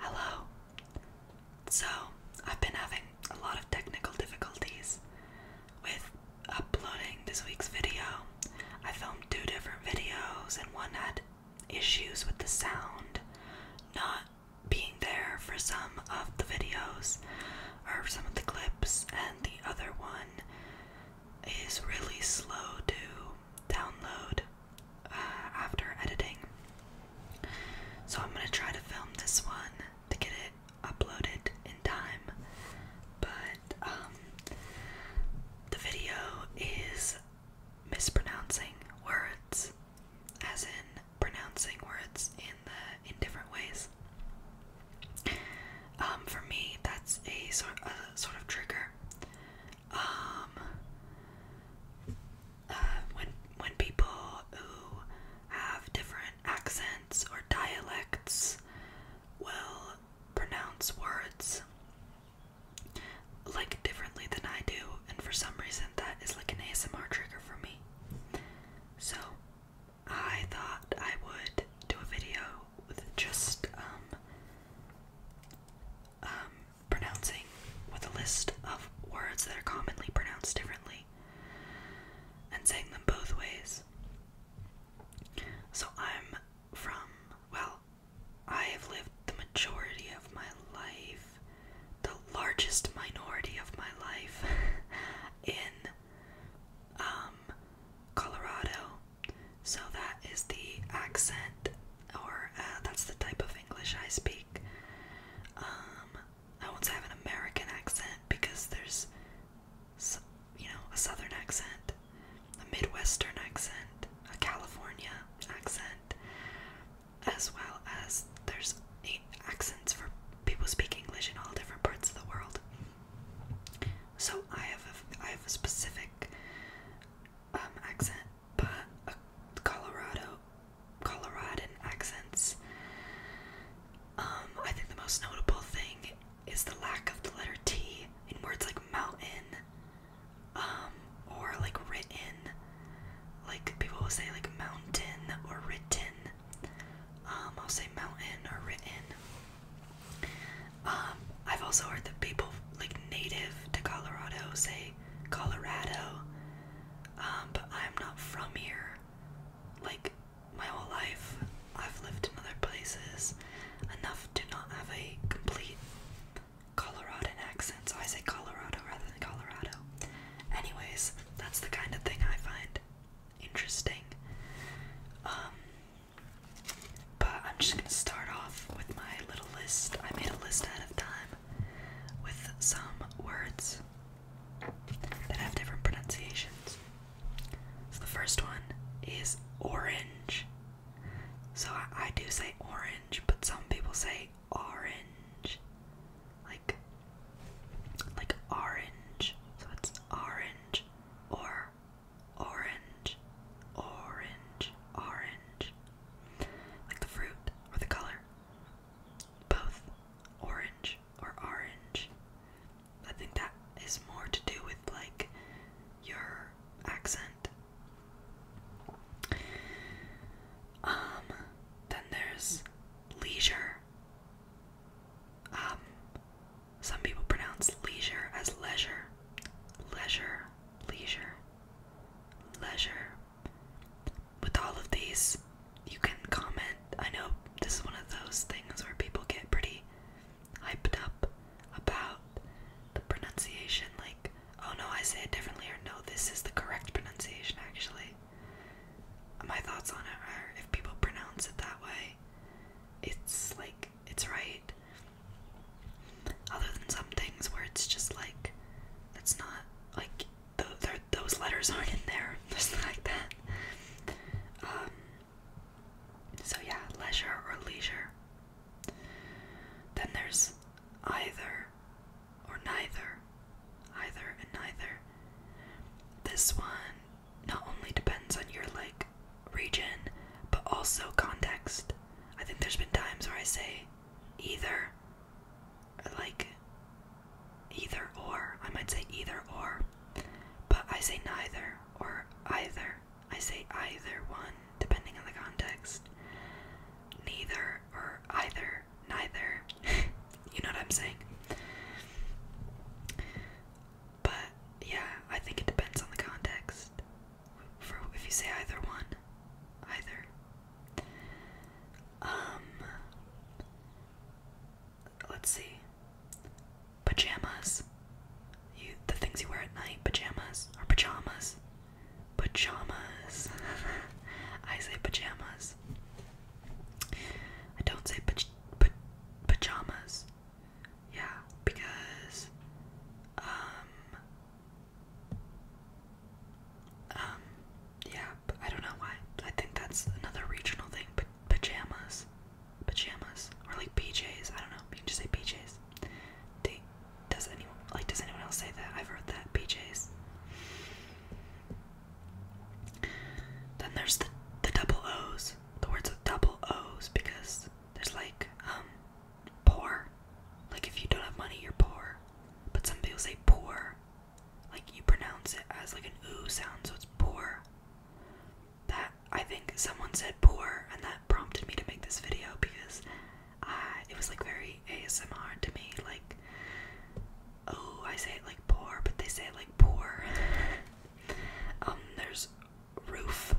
Hello. So, I've been having a lot of technical difficulties with uploading this week's video. I filmed two different videos, and one had issues with the sound not being there for some of the videos or some of the clips, and the other one is really slow too download uh, after editing. So I'm gonna try to film this one to get it uploaded in time. But um, the video is mispronouncing words, as in pronouncing words in the in different ways. Um, for me, that's a sort of trigger um, uh, when when people who have different accents or dialects will pronounce words like differently than I do, and for some reason that is like an ASMR trigger for me. So I thought I would do a video with just um, um pronouncing with a list of words that are commonly pronounced differently and saying them both ways. So I'm from, well, I have lived the majority of my life, the largest minority of my life, in um, Colorado, so that is the accent, or uh, that's the type of English I speak. Um, I won't say I have an American accent because there's, you know, a Southern accent, a Midwestern accent, a California accent, as well as there's accents for people speak English in all different parts of the world. So I have a, I have a specific um, accent, but Colorado, Coloradan accents. Um, I think the most notable thing is the lack of the letter T in words like mountain, um, or like written. Like people will say like mountain or written. Um, I'll say mountain or written. Um, I've also heard that people like native to Colorado say Colorado, um, but I'm not from here. Like my whole life, I've lived in other places enough to not have a complete Colorado accent, so I say Colorado rather than Colorado. Anyways, that's the kind of thing I find interesting. Um, but I'm just gonna start off with my little list. I made a list out of time with some words that have different pronunciations. So the first one is orange. So I, I do say orange, but some people say orange. Like like orange. So it's orange or orange, orange, orange. Like the fruit or the color. Both orange or orange. I think that is more to do with like your accent. Um, then there's leisure. Um, some people pronounce leisure as leisure, leisure, leisure, leisure. With all of these, you can comment. I know this is one of those things where people get pretty hyped up about the pronunciation, like, oh no, I say it differently, or no, this is the correct pronunciation actually. My thoughts on it are if people pronounce it that way, it's like it's right. Other than some things where it's just like, it's not like those letters aren't in there, just like that. Um, so yeah, leisure or leisure. Then there's either or neither, either and neither. This one not only depends on your like region, but also context. I think there's been times where I say either, like either or. I might say either or, but I say neither or either. I say either one depending on the context. Neither or either, neither. you know what I'm saying? But yeah, I think it depends on the context. For if you say either one, either. Um, let's see. Pajamas. You the things you wear at night. Pajamas or pajamas. Pajamas. I say pajamas. I don't say pa pajamas. Yeah, because um um yeah, I don't know why. I think that's another regional thing, pajamas. Pajamas. Or like PJs. I don't know. You can just say PJs. does anyone like does anyone else say that? I've heard that. PJs. Then there's the the double O's the words with double O's, because there's like um, poor. Like if you don't have money, you're poor. But some people say poor. Like you pronounce it as like an oo sound, so it's poor. That I think someone said poor, and that prompted me to make this video because I ah, it was like very ASMR to me. Like, oh, I say it like poor, but they say it like poor. Um, there's roof,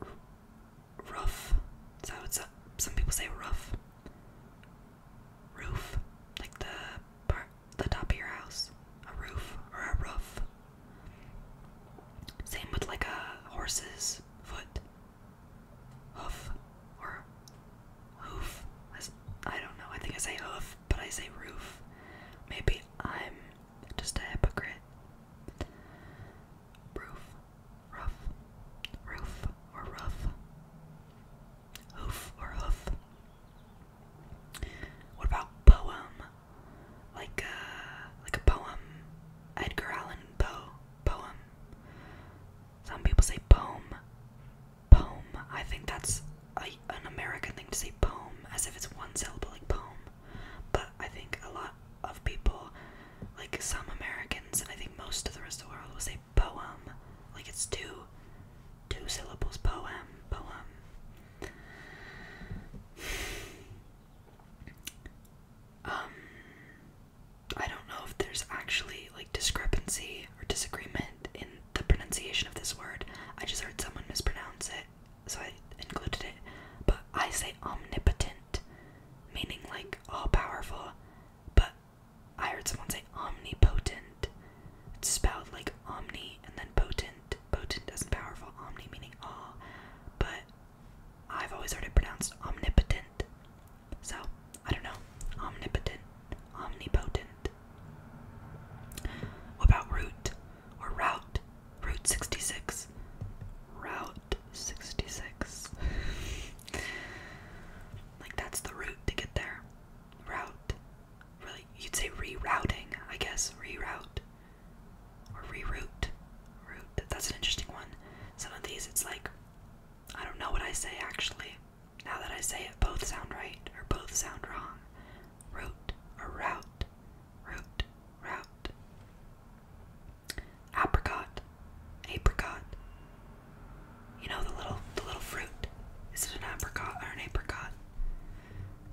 r So it's a, some people say roof, roof, like the part, the top of your house, a roof or a roof. Same with like a horse's foot, hoof or hoof. I don't know. I think I say hoof but I say roof. Maybe I'm just a hypocrite. Roof, rough, roof or rough, hoof or hoof. What about poem? Like a uh, like a poem, Edgar Allan Poe poem. Some people say poem. Poem. I think that's a, an American thing to say poem, as if it's one syllable, like poem. But I think a lot of people, like some Americans, and I think most of the rest of the world, will say poem. Like it's two, two syllables. Poem, poem. Um, I don't know if there's actually like discrepancy or disagreement in the pronunciation of this word. I just heard someone mispronounce it, so I included it. But I say omnipotent, meaning like all powerful, but I heard someone say omnipotent. It's spelled like omni and then potent. Potent doesn't powerful, omni meaning all, but I've always heard it pronounced omnipotent. So, I don't know. Omnipotent omnipotent. What about root or route? Route 66. Route 66. like that's the route to get there. Route. Really, you'd say rerouting, I guess. Reroute or reroute. Route. That's an interesting one. Some of these, it's like, I don't know what I say actually. Now that I say it, both sound right or both sound wrong. Root or route, root, route. Apricot, apricot. You know the little the little fruit. Is it an apricot or an apricot?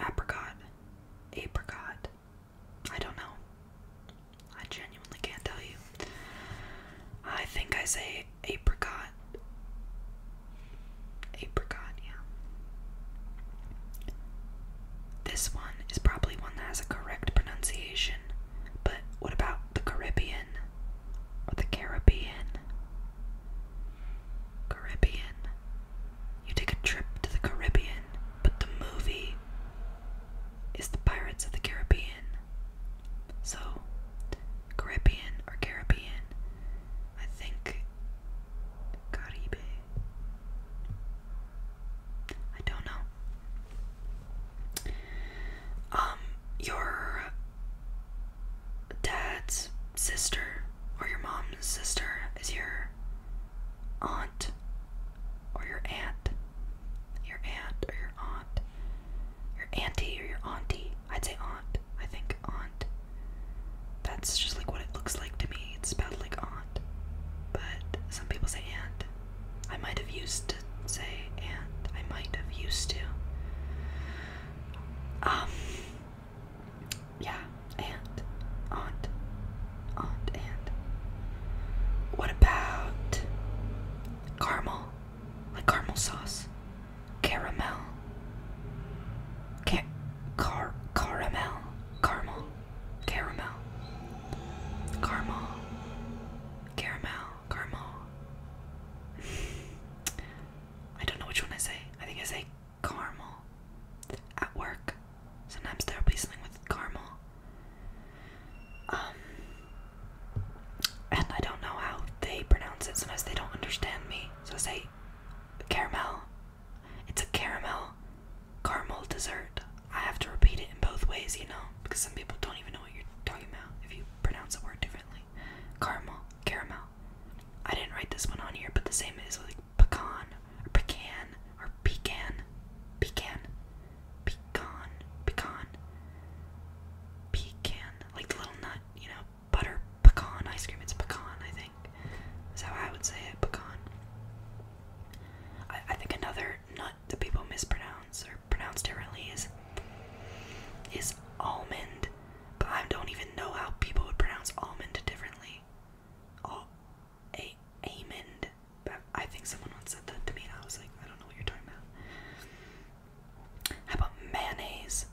Apricot, apricot. I don't know. I genuinely can't tell you. I think I say apricot. Apricot, yeah. This one is probably one that has a correct pronunciation, but what about the Caribbean? Or the Caribbean? Caribbean. You take a trip to the Caribbean, but the movie is the Pirates of the Caribbean. So, Caribbean or Caribbean, I think Caribe. I don't know. Um, your dad's sister or your mom's sister is your aunt or your aunt. Your aunt or your aunt your auntie or your auntie. I'd say aunt. I think aunt. That's just like what it looks like to me. It's spelled like aunt. But some people say aunt. I might have used to say aunt. I might have used to. Um Yeah, aunt. Aunt. Aunt, aunt. What about caramel? Like caramel sauce. Caramel. Ca car caramel. Caramel. Caramel. Caramel. Caramel. Caramel. I don't know which one I say. I think I say caramel. At work. Sometimes there'll be something with caramel. Um, and I don't know how they pronounce it. Sometimes they don't understand me, so I say caramel. It's a caramel caramel dessert. I have to repeat it in both ways, you know, because some people don't even know what you're talking about if you pronounce the word differently. Caramel, caramel. I didn't write this one on here, but the same is like pecan or pecan or pecan, pecan pecan, pecan, pecan, like the little nut, you know, butter pecan ice cream. It's pecan, I think. That's how I would say it, pecan. I, I think another nut that people mispronounce or pronounce differently is is almond, but I don't even know how people would pronounce almond differently. Al a almond. But I think someone once said that to me, and I was like, I don't know what you're talking about. How about mayonnaise?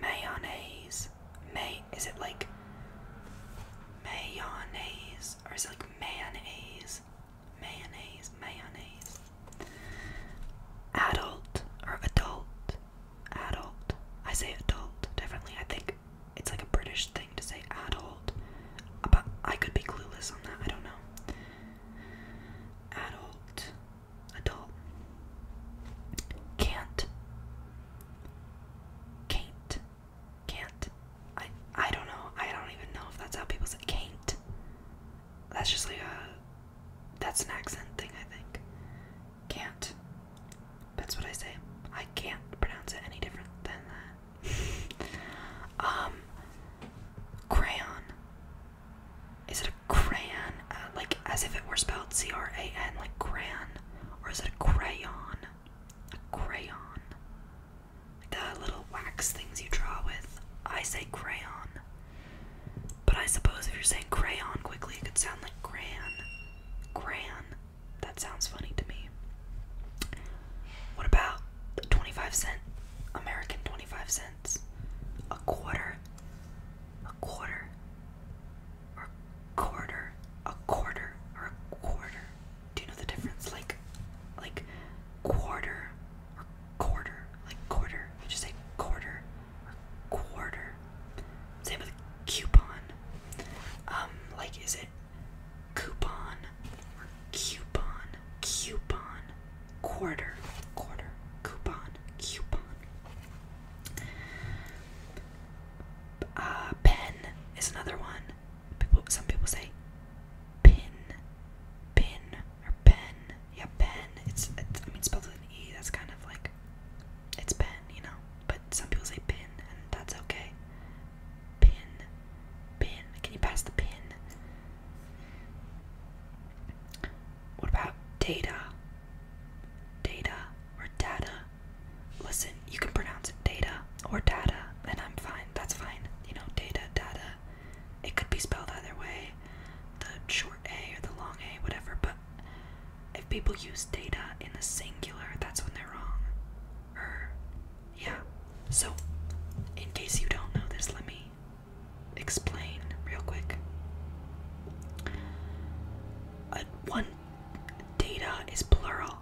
Mayonnaise. May is it like mayonnaise or is it like mayonnaise? Mayonnaise, mayonnaise. Adult or adult. Adult. I say adult differently. I think it's like a British thing to say adult. But I could be clueless on that. I don't know adult, adult, can't, can't, can't. I I don't know. I don't even know if that's how people say can't. That's just like a that's an accent thing, I think. Can't. That's what I say. I can't pronounce it any different than that um, crayon. Is it a crayon? Uh, like as if it were spelled C R A N, like crayon, or is it a crayon? A crayon. The little wax things you draw with. I say crayon. But I suppose if you're saying crayon quickly, it could sound like gran. Gran. That sounds funny to me. What about 25 cent? American 25 cents? A quarter? A quarter? Or quarter? A quarter? Or a quarter? Do you know the difference? Like, like quarter or quarter? Like quarter? You just say quarter or quarter. Same with coupon. Um, like, is it coupon coupon, coupon, quarter, quarter, coupon, coupon. Uh, pen is another one. some people say pin, pin, or pen. Yeah, pen. It's, it's I mean, spelled with an e. That's kind of like it's pen, you know. But some people say pin, and that's okay. Pin. Pin. Can you pass the pin? What about data? Data or data? Listen, you can pronounce it data or data, and I'm fine. That's fine. You know, data, data. It could be spelled either way the short A or the long A, whatever, but if people use data in the singular, that's when they're wrong. Er, yeah. So, in case you don't know this, let me explain real quick. Uh, one data is plural,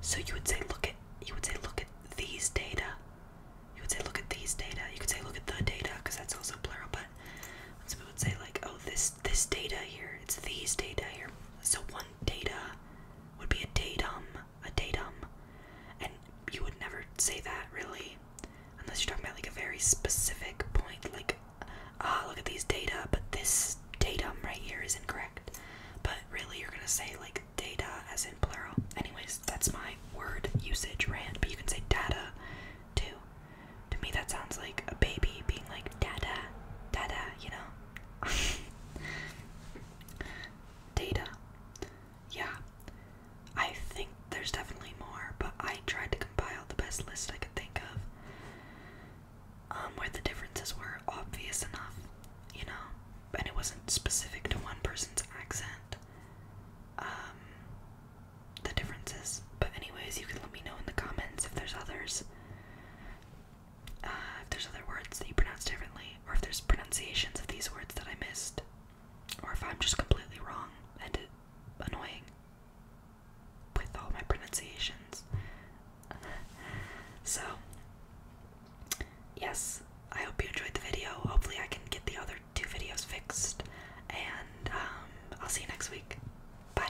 so you would say look at you would say look at these data. You would say look at these data. You could say look at the data because that's also plural. But some people would say like oh this this data here. It's these data here. So one data would be a datum a datum, and you would never say that really, unless you're talking about like a very specific point, like, ah, look at these data, but this datum right here is incorrect. But really, you're gonna say like data as in plural. Anyways, that's my word usage rant, but you can say data too. To me, that sounds like a baby being like data, data, you know? Data. Yeah. I think there's definitely more, but I tried to compile the best list I could think of. Um, where the differences were obvious enough, you know, and it wasn't specific to one person's accent. Um, the differences. But anyways, you can let me know in the comments if there's others. Uh, if there's other words that you pronounce differently, or if there's pronunciations of these words that I missed, or if I'm just completely wrong and annoying with all my pronunciations. so, yes, I hope you enjoyed the video. Hopefully, I can get the other two videos fixed, and um, I'll see you next week. Bye.